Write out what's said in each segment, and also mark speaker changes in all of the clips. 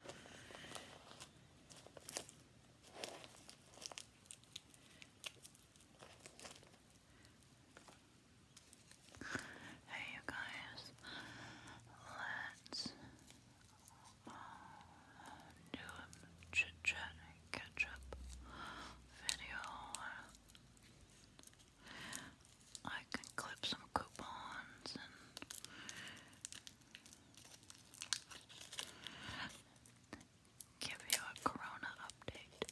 Speaker 1: Hey, you guys, let's uh, do a chit chat catch up video. I can clip some coupons and Give you a corona update.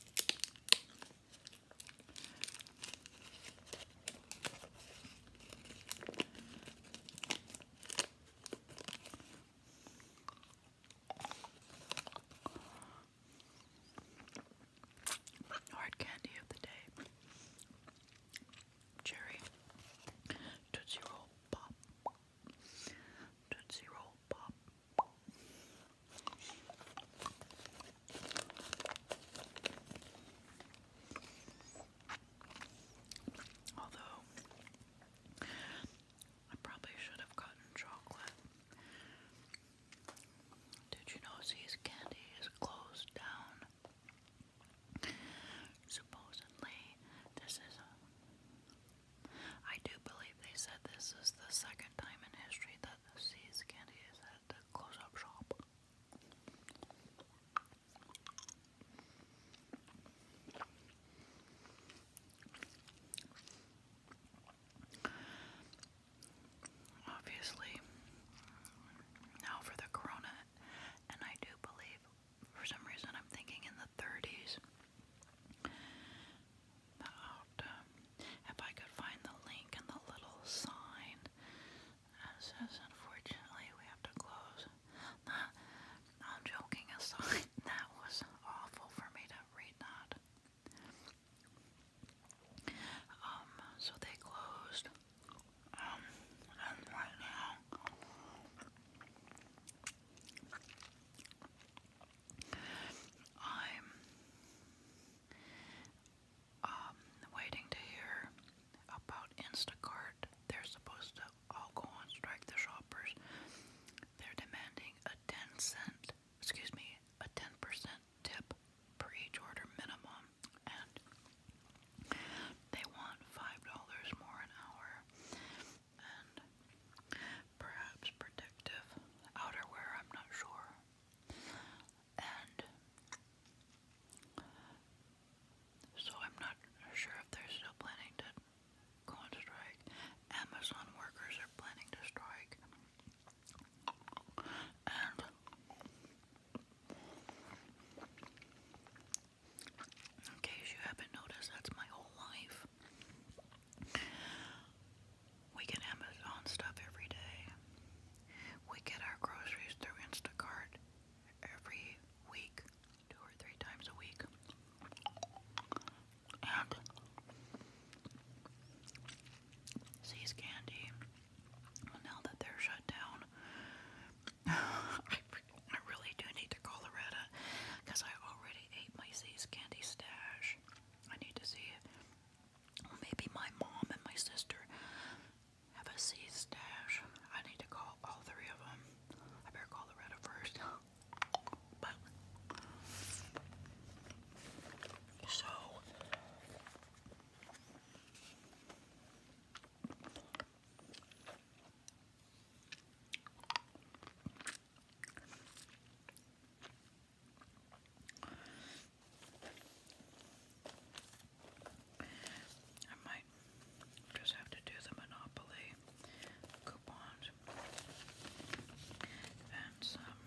Speaker 1: Hard candy of the day cherry, Tootsie Roll Pop, Tootsie Roll Pop. Although, I probably should have gotten chocolate. Did you know Z's Candy is closed down? Supposedly, this is a. I do believe they said this is the second time in history that the seeds candy is at the close up shop. Obviously, now for the corona, and I do believe for some reason I'm thinking in the 30s. But um, if I could find the link and the little sign that says, unfortunately, we have to close. I'm joking aside, that was awful for me to read that. Um, so they closed um, right now, I'm um, waiting to hear about Instacart. They're supposed to all go on strike the shoppers. They're demanding a 10 cent, excuse me, a 10% tip per each order minimum. And they want five dollars more an hour and perhaps protective outerwear, I'm not sure. And so I'm not sure if they're still planning to go on strike. Amazon workers are planning to strike. And in case you haven't noticed, that's my whole life. We get Amazon stuff every day. We get our groceries through Instacart every week, two or three times a week. And See's Candy, well, now that they're shut down, I, really do need to call Loretta because I already ate my Z's candy stash. I need to see maybe my mom and my sister have a Z's stash. I need to call all three of them. I better call Loretta first. so. I might just have to do the Monopoly coupons and some.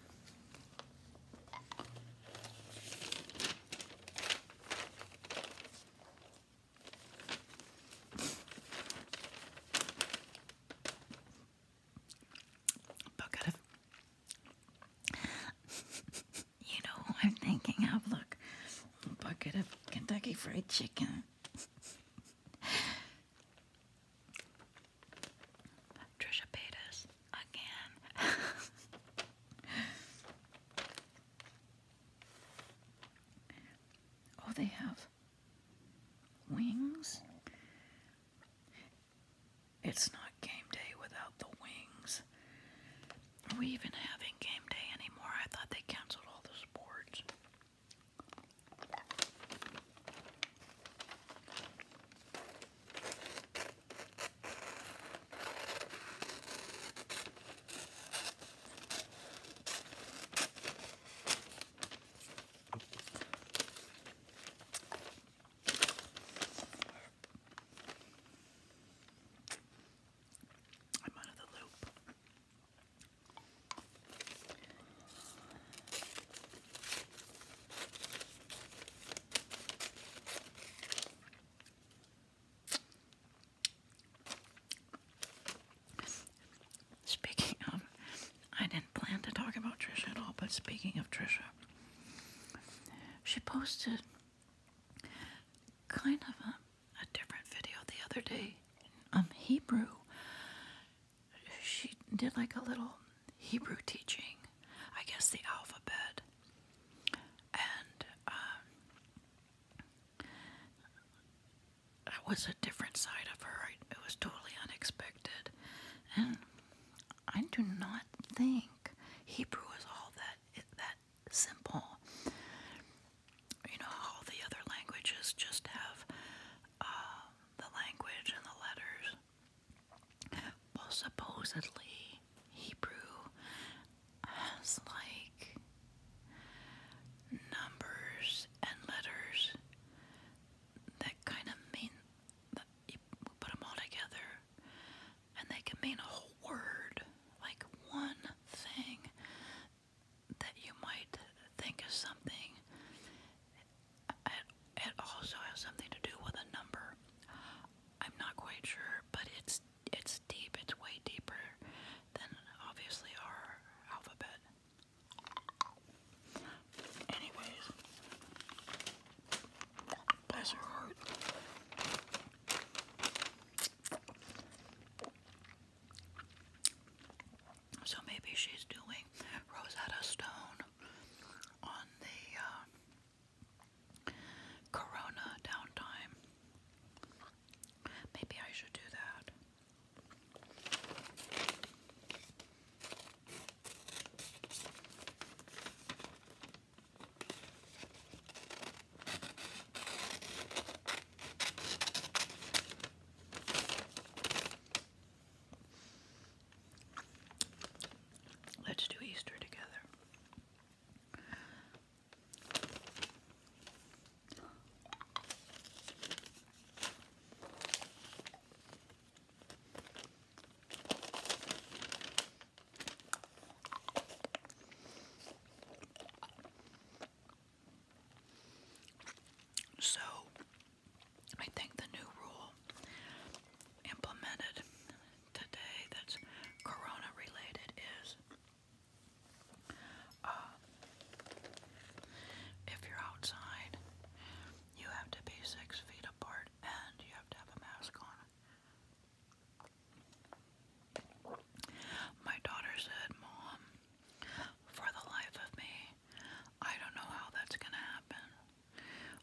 Speaker 1: Bucket of. you know I'm thinking of? Look, bucket of Kentucky Fried Chicken. Trisha Paytas again. Oh, they have wings? It's not game day without the wings. Are we even having game day anymore? I thought they canceled all the sports. I'm out of the loop. Speaking of, I didn't plan to talk about Trisha at all, but speaking of Trisha, she posted kind of a, different video the other day. Um, Hebrew. She did like a little Hebrew teaching, I guess the alphabet, and um, that was a different side of her. It was totally unexpected. And I do not think Hebrew is all that that simple. You know, all the other languages just have um, the language and the letters. Well, supposedly Hebrew has like numbers and letters that kind of mean that you put them all together and they can mean a whole word, like one thing that you might think is something. It, it also has something to do with a number. I'm not quite sure, but it's it's it's deep, it's way deeper than obviously our alphabet. Anyways, bless her heart. So maybe she's doing Rosetta Stone on the uh, Corona downtime. Maybe I should do that. Let's do Easter together. So, I think the new rule implemented today that's corona related is uh, if you're outside, you have to be six feet apart and you have to have a mask on. My daughter said, Mom, for the life of me, I don't know how that's going to happen.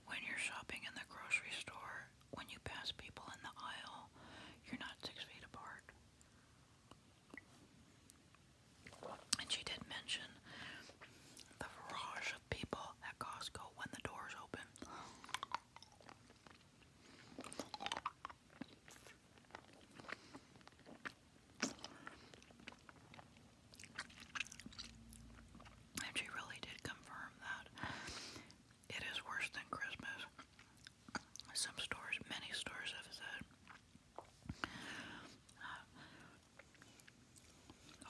Speaker 1: When you're shopping in the grocery store, when you pass people in the aisle, you're not six feet apart. And she did mention the barrage of people at Costco when the doors open. And she really did confirm that it is worse than Christmas. Some stores, many stores have that. Uh,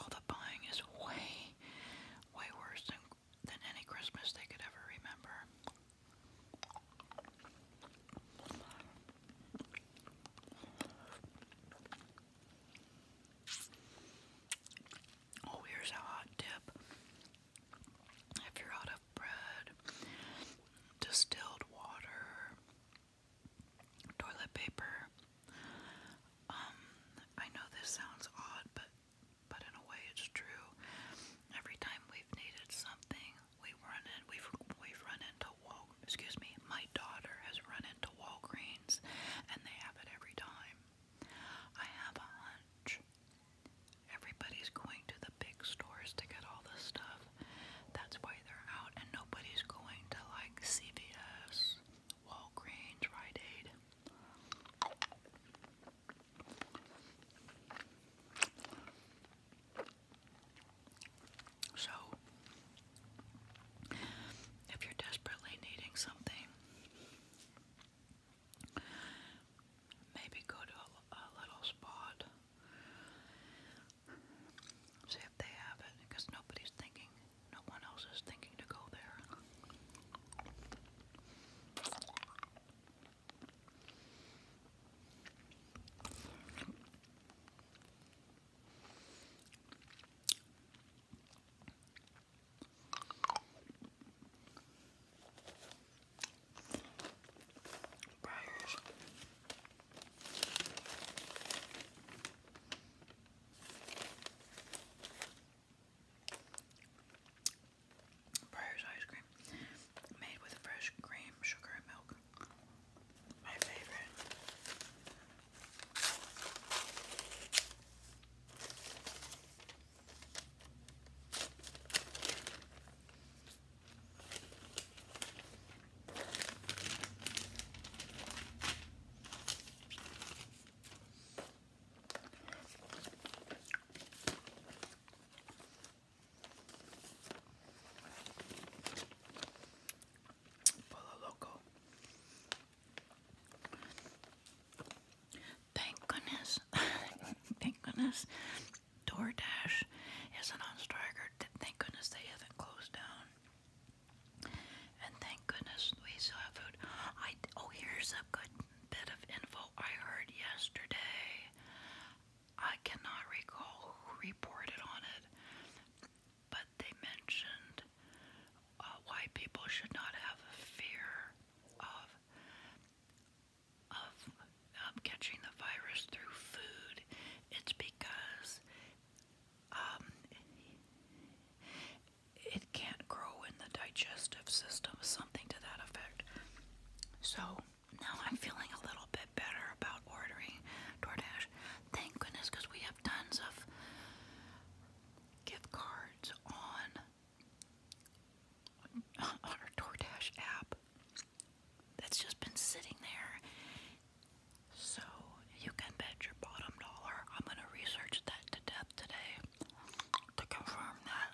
Speaker 1: all the buying is way, way worse than, than any Christmas they could ever remember. Oh, here's a hot tip. If you're out of bread, distilled water, toilet paper. Um, I know this sounds odd, but but in a way it's true. Every time we've needed something, we run in we've we've run into Wal excuse me, my daughter has run into Walgreens and they have it every time. I have a hunch Everybody's going to the big stores to get all this stuff. That's why they're out, and nobody's going to like CVS, Walgreens, Rite Aid. So, if you're desperately needing something, Maybe go to a, little spot. See if they have it, because nobody's thinking, no one else is thinking to go there. Briars. Briars ice cream made with fresh cream, sugar, and milk. My favorite. Polo Loco. Thank goodness. Thank goodness DoorDash is an on Striker. Thank goodness they haven't closed down. And thank goodness we still have food. I, oh, here's a good bit of info I heard yesterday. I cannot recall who reported on it, but they mentioned uh, why people should not have fear of of um, catching the virus through food, it's because um, it can't grow in the digestive system, something to that effect. So now I'm feeling a little bit better about ordering DoorDash. Thank goodness, because we have tons of gift cards on on our DoorDash app that's just been sitting there. So you can bet your bottom dollar I'm gonna research that to death today to confirm that.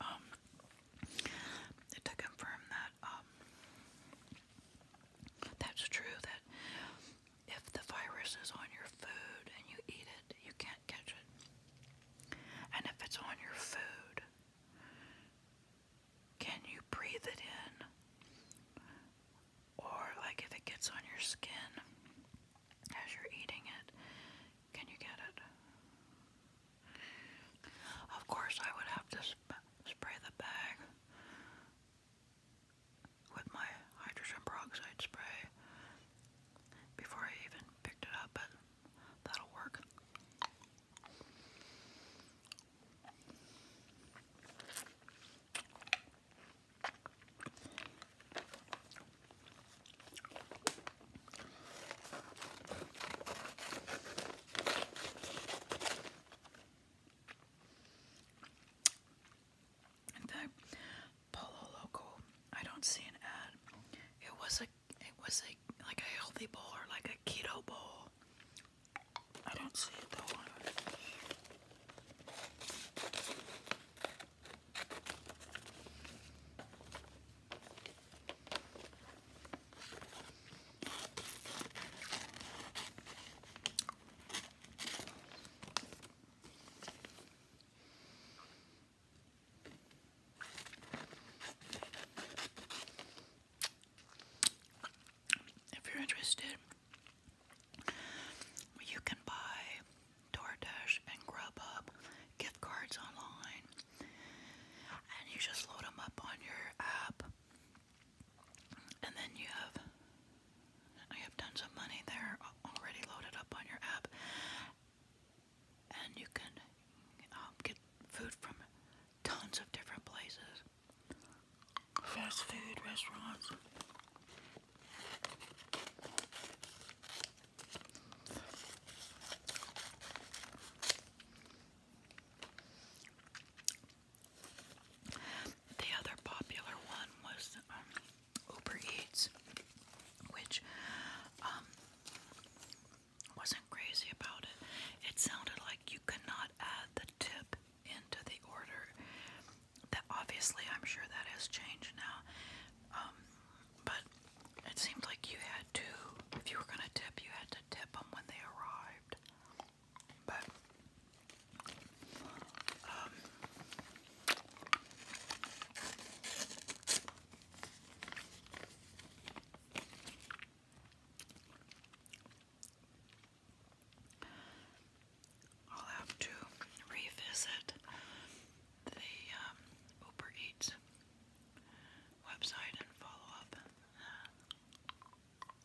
Speaker 1: Um, to confirm that um, that's true that if the virus is on your food and you eat it, you can't catch it. And if it's on your food, can you breathe it in? Or, like, if it gets on your skin as you're eating it, can you get it? Of course, I would have to spray the bag with my hydrogen peroxide spray before I even picked it up, but that'll work. The Polo Loco, I don't see an ad. It was a, it was a like a healthy bowl or like a keto bowl. I don't see it though. If you're interested, you can buy DoorDash and Grubhub gift cards online, and you just load them up on your app, and then you have you have tons of money there already loaded up on your app, and you can um, get food from tons of different places, fast food restaurants. The other popular one was um, Uber Eats, which um, wasn't crazy about it. It sounded like you could not add the tip into the order. That obviously, I'm sure that has changed now. Um, but it seemed like you had to, if you were going to tip, you had to tip them when they arrived. But um, I'll have to revisit the um, Uber Eats website and follow up.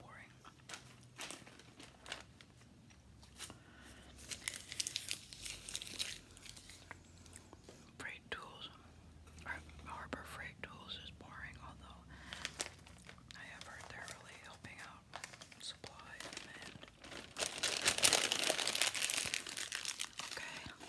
Speaker 1: Boring. Freight tools, Harbor Freight Tools is boring, although I have heard they're really helping out supply and Okay.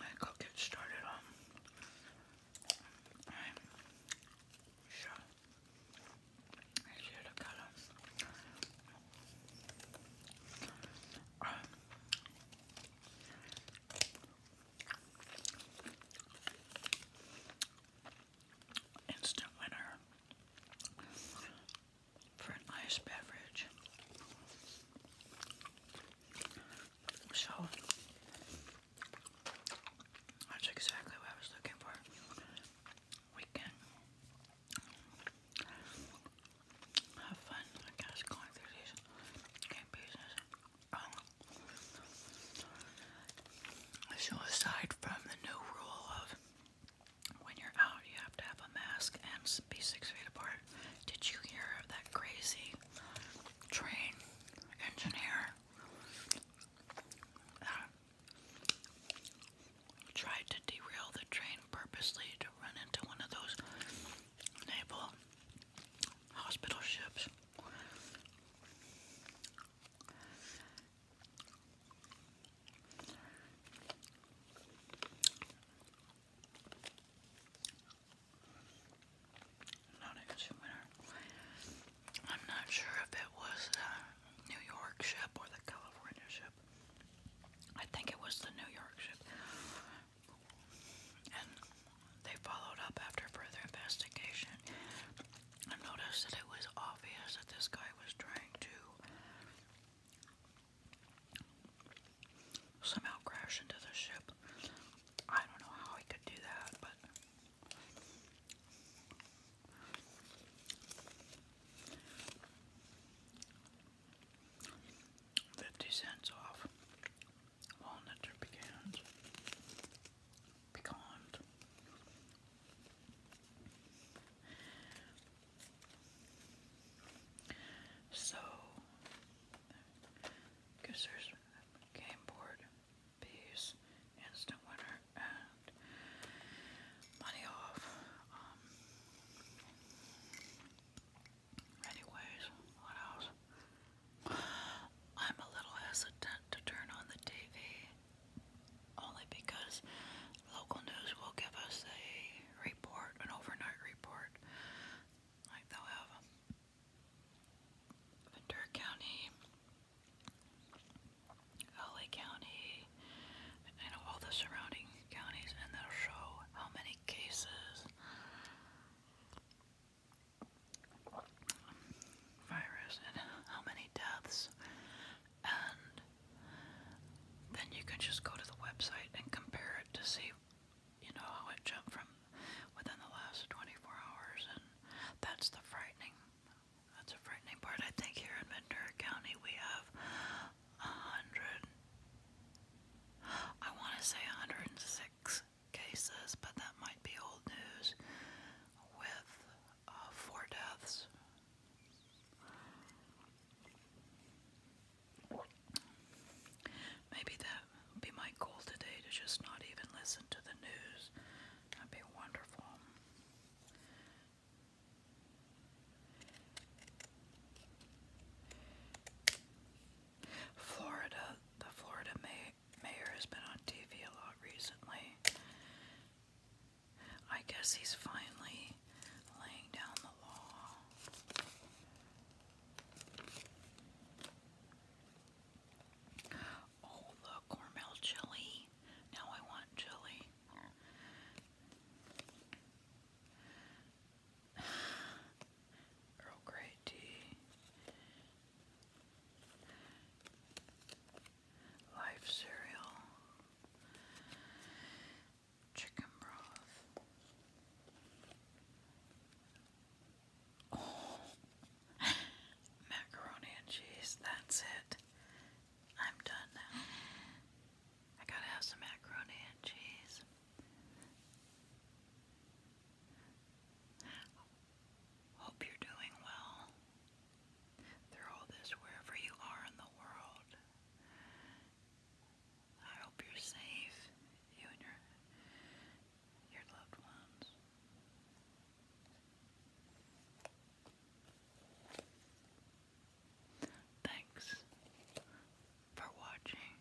Speaker 1: I go get started on I'm um. sure I Instant winner for an nice beverage. So that's exactly what I was looking for. We have fun, I guess, going through these game pieces. Um, so, aside from the new rule of when you're out, you have to have a mask and be six feet apart, did you hear of that crazy train engineer tried to derail the train purposely to run into one of those naval hospital ships. I'm not sure if it was the New York ship or the California ship. I think it was the New York ship. And they followed up after further investigation and noticed that it was obvious that this guy was trying to somehow crash into the ship. I don't know how he could do that, but. 50 cents off walnut or pecans. Pecans. So, because game board, piece, instant winner, and money off. Um, Anyways, what else? I'm a little hesitant to turn on the TV only because local news will give us a report, an overnight report. Like they'll have Ventura County, LA County, you know, all the surrounding counties, and they'll show how many cases virus and how many deaths, and then you can just go to the website and compare it to see, you know, how it jumped from within the last 24 hours, and that's the frightening. That's a frightening part. I think here in Ventura County we have a hundred. I want to say 106 cases, but that might be old news, with uh, four deaths. Maybe that would be my goal today to just not even listen to the news. That'd be wonderful. Florida, the Florida May Mayor has been on TV a lot recently. I guess he's finally laying down the law. Oh, look, Cornmel chili. Now I want chili. Earl Grey tea. Life cereal, chicken broth. Oh. macaroni and cheese. That's it. I'm done now. I gotta have some macaroni and cheese. Hope you're doing well through all this, wherever you are in the world. I hope you're safe, you and your, your loved ones. Thanks for watching.